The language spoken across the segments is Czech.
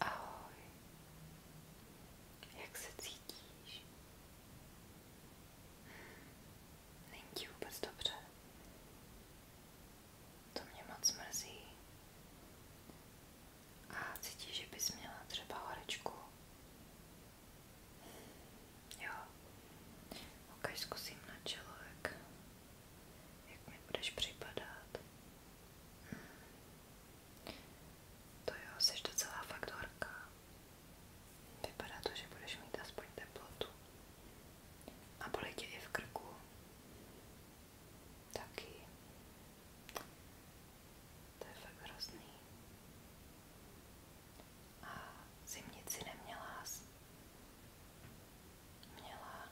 Ahoj, jak se cítíš? Není ti vůbec dobře? To mě moc mrzí. A cítíš, že bys měla třeba horečku? Jo, ok, zkusím na čelo, jak, jak mi budeš připadat. To jo, jsi docela fakt horká. Vypadá to, že budeš mít aspoň teplotu. A bolí tě i v krku. Taky. To je fakt hrozný. A zimnici neměla jsi? Měla.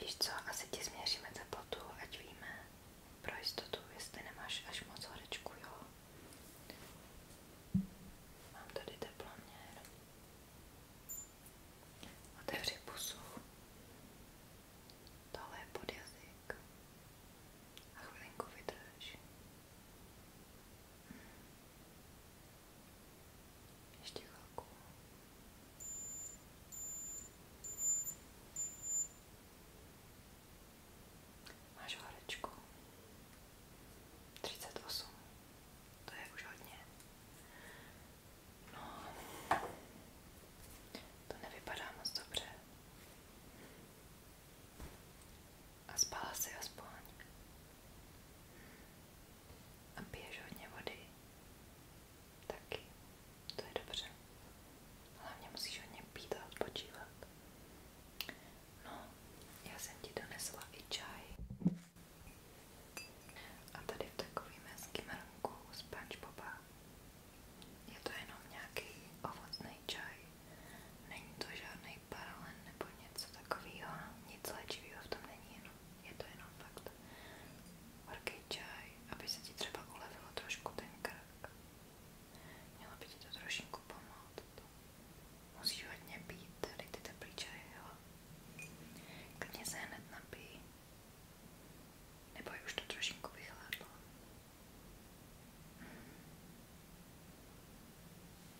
Víš co, asi ti změříme teplotu, ať víme pro jistotu, jestli nemáš až moc horečku, jo? Mám tady teploměr. Otevři pusu. Tohle je pod jazyk. A chvilinku vydrž. Hmm. Ještě chvilku. Máš horečku. 38. To je už hodně. No, to nevypadá moc dobře. A spala si aspoň. A piješ hodně vody. Taky. To je dobře. Hlavně musíš hodně pít a odpočívat. No, já jsem ti donesla i čaj. A tady v takovým hezkým hrnku z Boba. Je to jenom nějaký ovocný čaj. Není to žádný paralen nebo něco takového. Nic léčivého v tom není, jenom je to jenom fakt. Horký čaj, aby se ti třeba ulevilo trošku ten krk. Mělo by ti to trošinku pomoct. Musíš hodně pít tady ty teplý čaje, jo? Klidně se hned napij. Nebo je už to trošinku vychladlo.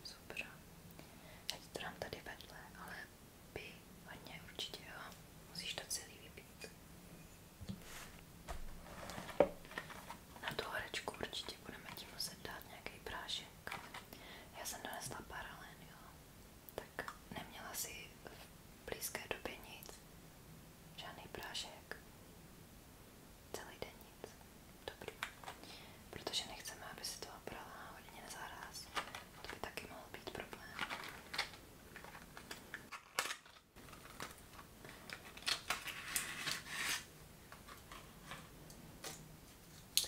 Super. Já ti to dám tady vedle, ale Pí, hodně určitě, jo. Musíš to celý vypít. Na tu horečku určitě budeme ti muset dát nějaký prášek. Já jsem donesla paralen, jo. Tak neměla si v blízké době nic. Žádný prášek. Celý den nic. Dobrý. Protože nechceme, aby si to obrala hodně nezaraz. To by taky mohl být problém.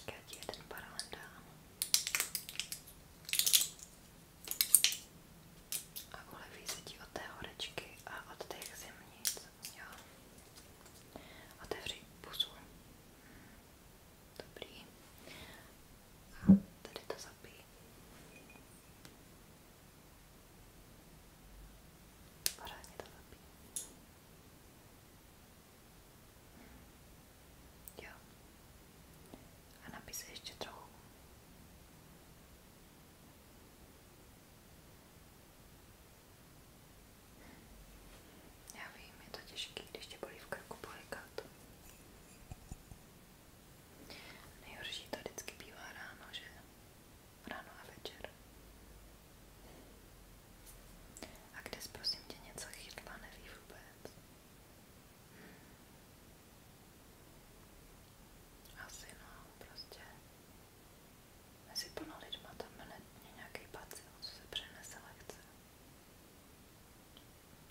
Tak já ti jeden paralel dám. A uleví se ti od té horečky a od těch zimnic. Jo. Otevři pusu. Dobrý. A tady to zapij. Pořádně to zapij. Jo. A napij se ještě trochu. Já vím, je to těžké, když tě bolí v krku polikat. Nejhorší to vždycky bývá ráno, že? Ráno a večer. A kde jsi, prosím tě něco chytla, neví vůbec. Asi no, prostě. Mezi plno lidma tam je nějaký pacient, co se přenese lehce.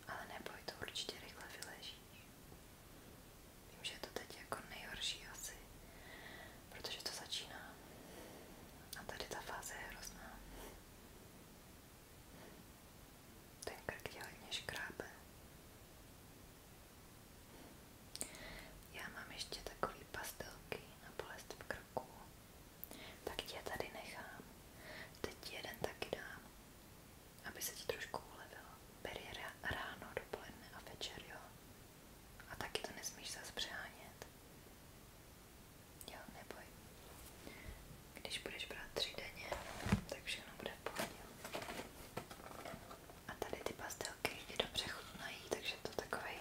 Ale neboj, to určitě rychle vyležíš. Vím, že je to teď jako nejhorší asi, protože to začíná. A tady ta fáze je hrozná. Ten krk tě hodně škrábe. Já mám ještě takový pastelky na bolest v krku. Tak tě tady nechám. Teď jeden taky dám aby se ti trošku ulevilo. Beri ráno, dopoledne a večer, jo? A taky to nesmíš zase přehánět. Jo, neboj. Když budeš brát tři denně, tak všechno bude v pohodě. A tady ty pastelky je dobře chutnají, takže to takovej,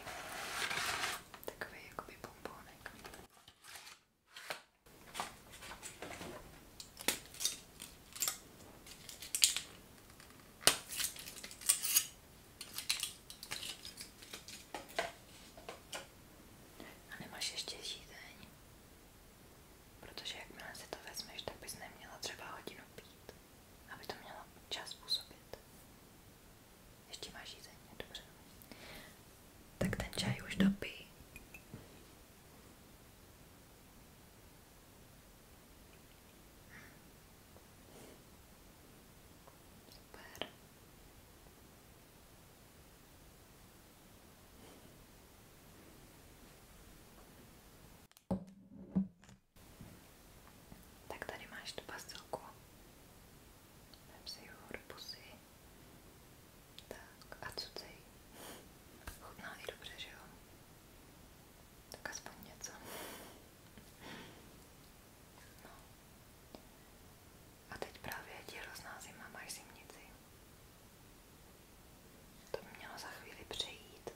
takovej jakoby bombonek. A nemáš ještě žízeň, protože jakmile si to vezmeš, tak bys neměla třeba hodinu pít, aby to mělo čas působit. Ještě máš žízeň, dobře. Tak ten čaj už dopij Super. Tak tady máš tu pastilku. Vem si ji do pusy. Tak a cucej. Chutná i dobře, že jo? Tak aspoň něco. No. A teď právě ti hrozná zima, máš zimnici. To by mělo za chvíli přejít.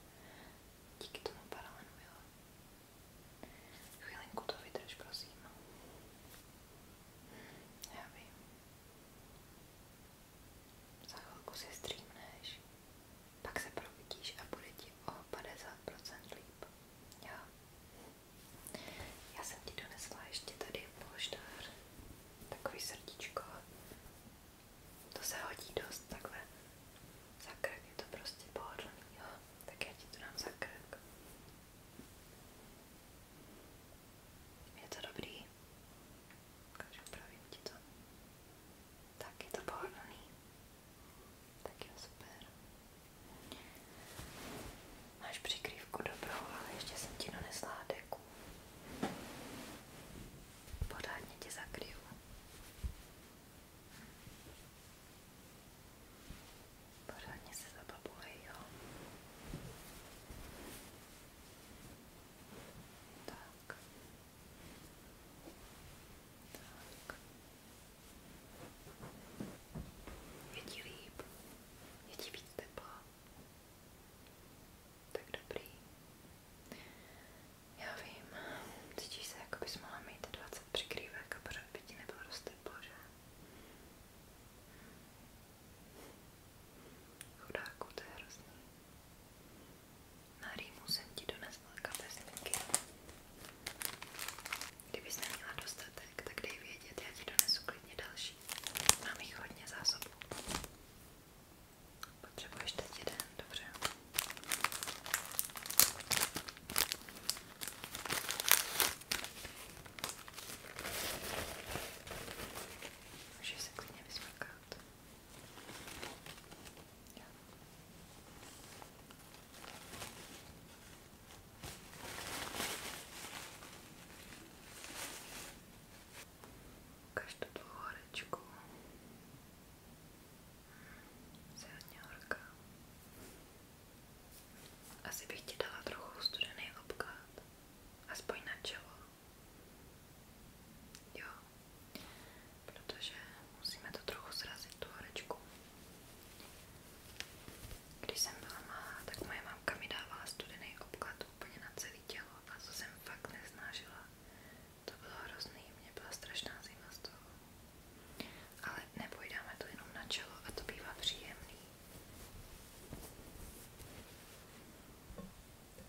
Díky tomu paralenu, jo? Chvilinku to vydrž, prosím. Já vím. Za chvilku si streamneš, pak se probudíš a bude ti o 50% líp. Jo. Já jsem ti donesla ještě tady polštář, takový srdíčko. To se hodí dost takhle. Za krk je to prostě pohodlný, jo. Tak já ti to dám za krk. Je to dobrý? taky. Ukážu, pravím ti to. Tak je to pohodlný. Tak jo, super. Máš přikrývku dobrou, ale ještě jsem ti donesla deku. Pořádně tě zakryju. Pořádně se zababuji, jo. Tak. Tak. Je ti líp? Je ti víc tepla? Tak dobrý. Já vím, cítíš se, jako bys mohla mít 20 přikrývek a pořád by ti nebylo dost teplo, že? Chudáku, to je hrozný. Na rýmu jsem ti donesla kapesníky. Kdybys neměla dostatek, tak dej vědět, já ti donesu klidně další. Mám jich hodně zásobu. Potřebuješ teď jeden, dobře. Můžeš se klidně vysmrkat. Ja. Ukaž tu tvou horečku. Jsi hodně horká. Asi bych ti dala trochu studený obklad. Aspoň na čelo. Jo, protože musíme to trochu srazit, tu horečku. Když jsem byla malá, tak moje mamka mi dávala studený obklad úplně na celé tělo a co jsem fakt neznážila. To bylo hrozný, mě byla strašná zima z toho. Ale nepojdáme to jenom na čelo a to bývá příjemný.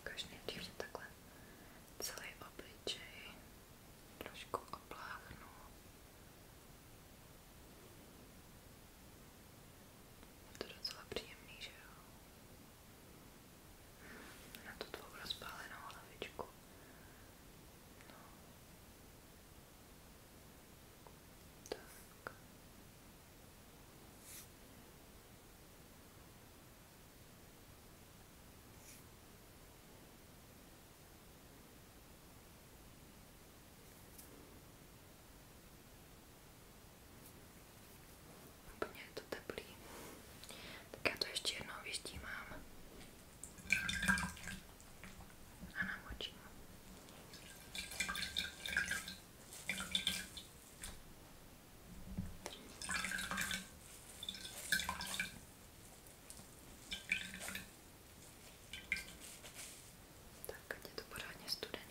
Ukaž nejdřív takhle celý obličej trošku opláchnu. Je to docela příjemný, že jo? Na tu tvou rozpálenou hlavičku. No. Tak. Tak. Úplně je to teplý. Tak já to ještě jednou vyštímám. A namočím. Tak, ať je to pořádně studený.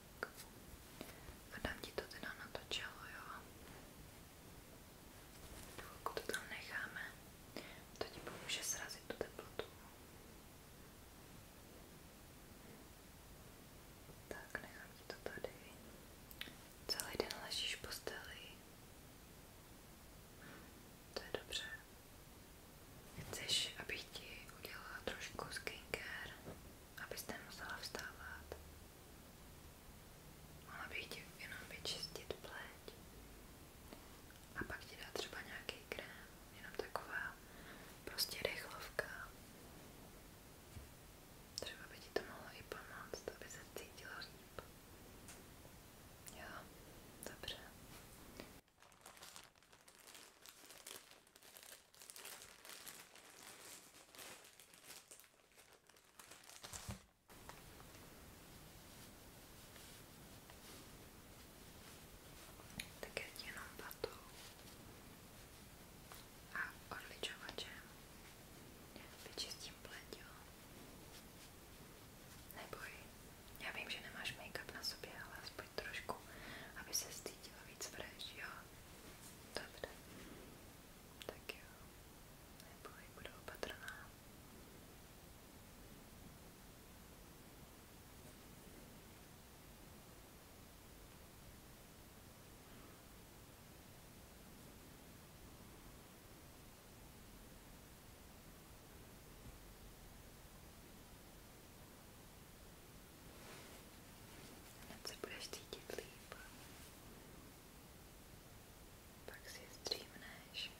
Adam ti to teda natočilo, jo? Chvilku to tam necháme. To ti pomůže srazit tu teplotu. Tak, nechám ti to tady. Celý den ležíš v posteli. To je dobře. Chceš, abych ti udělala trošku skincare, abyste musela vstávat? Mohla bych ti jenom vyčistit pleť a pak ti dát třeba nějaký krém, jenom taková prostě rychlovka. Třeba by ti to mohlo i pomoct, aby se cítila líp. Jo, dobře. Tak já ti jenom patou a odličovačem vyčistím pleť, jo? Neboj, já vím, že nemáš make-up na sobě, ale aspoň trošku, aby se stýdila víc fresh, jo? Dobře. Tak jo, neboj, budu opatrná. Hned se budeš cítit líp. Pak si zdřímneš.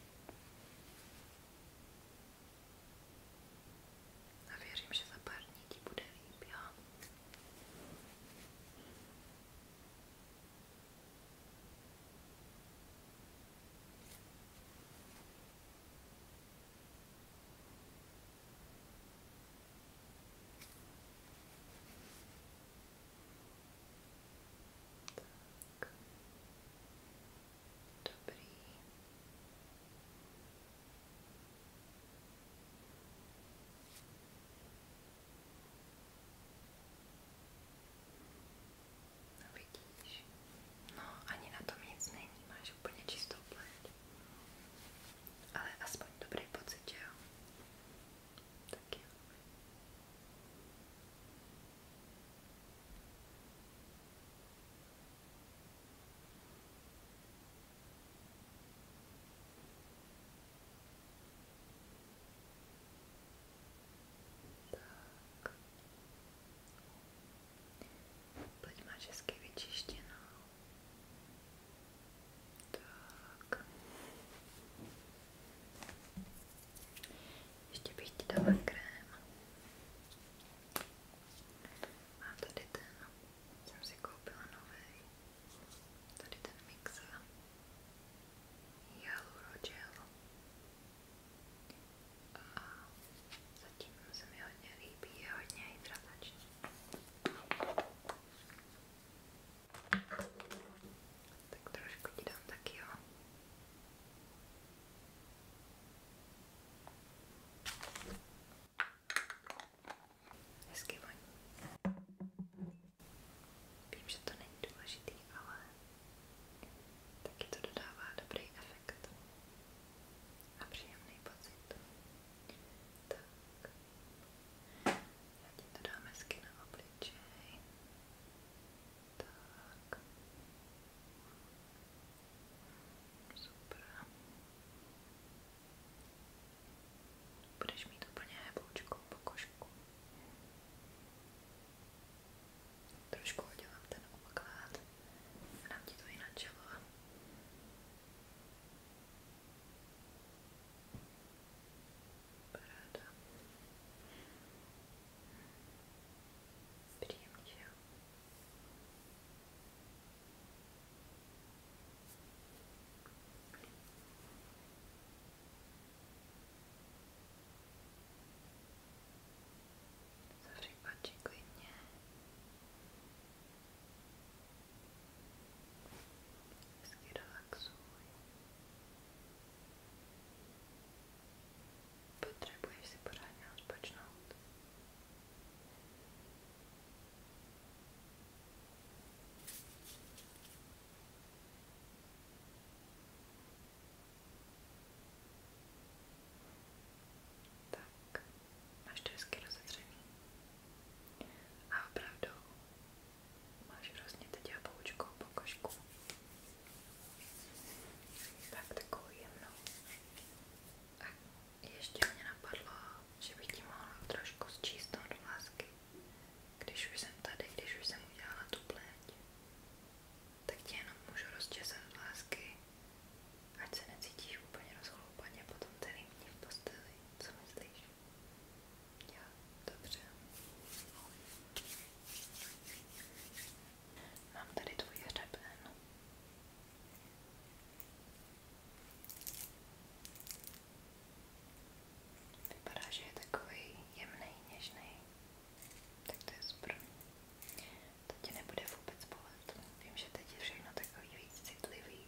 A věřím, že za pár dní ti bude líp, jo? Tak. Dobrý. No vidíš, no ani na tom nic není, máš úplně čistou pleť, ale aspoň dobrý pocit, že jo? Tak jo. Tak. Pleť máš hezky vyčištěnou. Так. Ještě bych ti dala krém. Mám tady ten, jsem si koupila nový. Tady ten mix Jalurogel. A zatím se mi hodně líbí, je hodně hydratační. Tak trošku ti dám taky, jo. Hezky voní. Vím, že to není důležitý, ale taky to dodává dobrý efekt a příjemný pocit. Tak, já ti to dám hezky na obličej. Tak. Super. Budeš mít úplně heboučkou pokožku. Trošku udělám ten obklad a dám ti to i na čelo. Paráda. Příjemně, že jo? Zavři pači klidně. Hezky relaxuj. Potřebuješ si pořádně odpočnout. Tak, máš to hezky rozetřený. A opravdu Máš hrozně teď jaboučkou pokožku. Tak takovou jemnou. A ještě mě napadlo, že bych ti mohla trošku zčístnout vlásky. Když už jsem tady, když už jsem udělala tu pleť, tak ti jenom můžu rozčesat vlásky, ať se necítíš úplně rozchloupaně potom celý dní v posteli. Co myslíš? Jo, dobře. Mám tady tvůj hřeben. Vypadá, že je takový jemný, něžný. Tak to je super. To ti nebude vůbec bolet. Vím, že teď je všechno takový víc citlivý.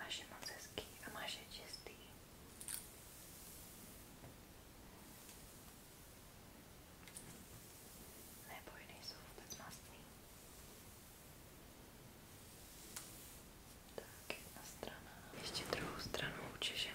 Máš je moc hezký a máš je čistý. Nebo nejsou vůbec mastný. Tak, jedna strana. Ještě druhou stranu učežeme.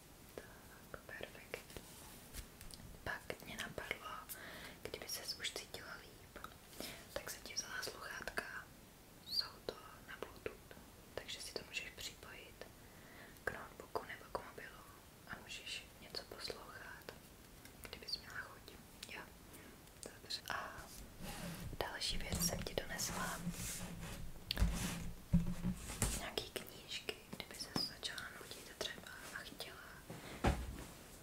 Tak, perfektní. Pak mě napadlo, kdyby ses už cítila líp, tak jsem ti vzala sluchátka, jsou to na bluetooth, takže si to můžeš připojit k notebooku nebo k mobilu a můžeš něco poslouchat, kdybys měla chuť. Jo, dobře. A další věc jsem ti donesla nějaký knížky, kdyby se začala nutit třeba a chtěla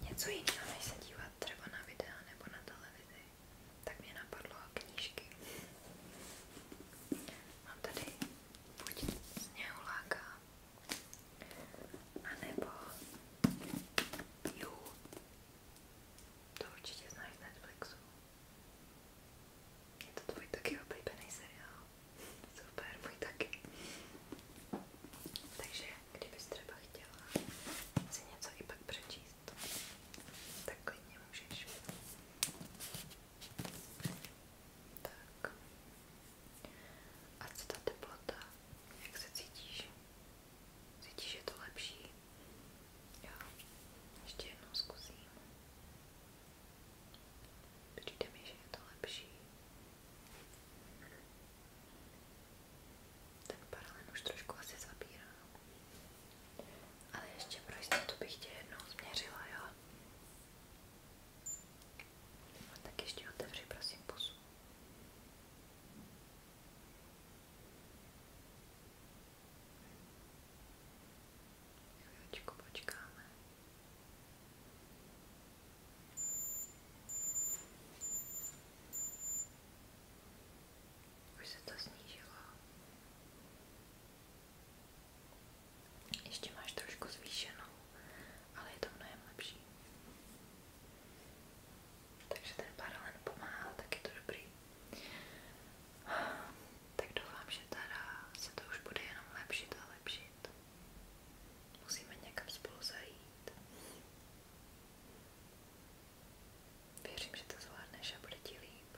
něco jiného, než se dívat třeba na videa nebo na televizi, tak mě napadlo knížky. Mám tady buď Sněhuláka, anebo You. To určitě znáš z Netflixu. Je to tvůj taky oblíbený seriál. Super, můj taky. Takže kdybys třeba chtěla si něco i pak přečíst, tak klidně můžeš. Tak. A co ta teplota? Jak se cítíš? Cítíš, že je to lepší? Jo. Ještě jednou zkusím. Přijde mi, že je to lepší. Ten paralen už trošku asi zabírá. Ale ještě pro jistotu bych tě jednou změřila, jo? A tak ještě otevři, prosím, pusu. Chvíličku počkáme. Už se to snížilo. Ještě máš trošku zvýšenou, ale je to mnohem lepší. Takže ten paralen pomáhá, tak je to dobrý tak doufám, že teda se to už bude jenom lepšit a lepšit. Musíme někam spolu zajít. Věřím, že to zvládneš a bude ti líp.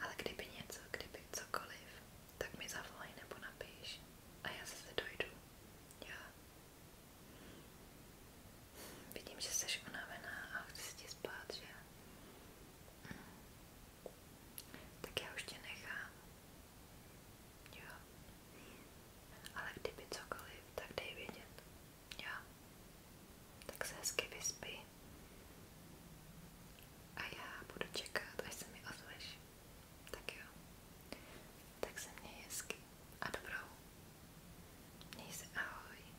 Ale kdyby něco, kdyby cokoliv, tak mi zavolej nebo napíš a já se dojdu. Já. Vidím, že jsi unavená a chci ti spát, že? Tak já už tě nechám. Jo. Ale kdyby cokoliv, tak dej vědět. Jo. Tak se hezky vyspí. A já budu čekat, až se mi ozveš. Tak jo. Tak se měj hezky a dobrou. Měj se ahoj.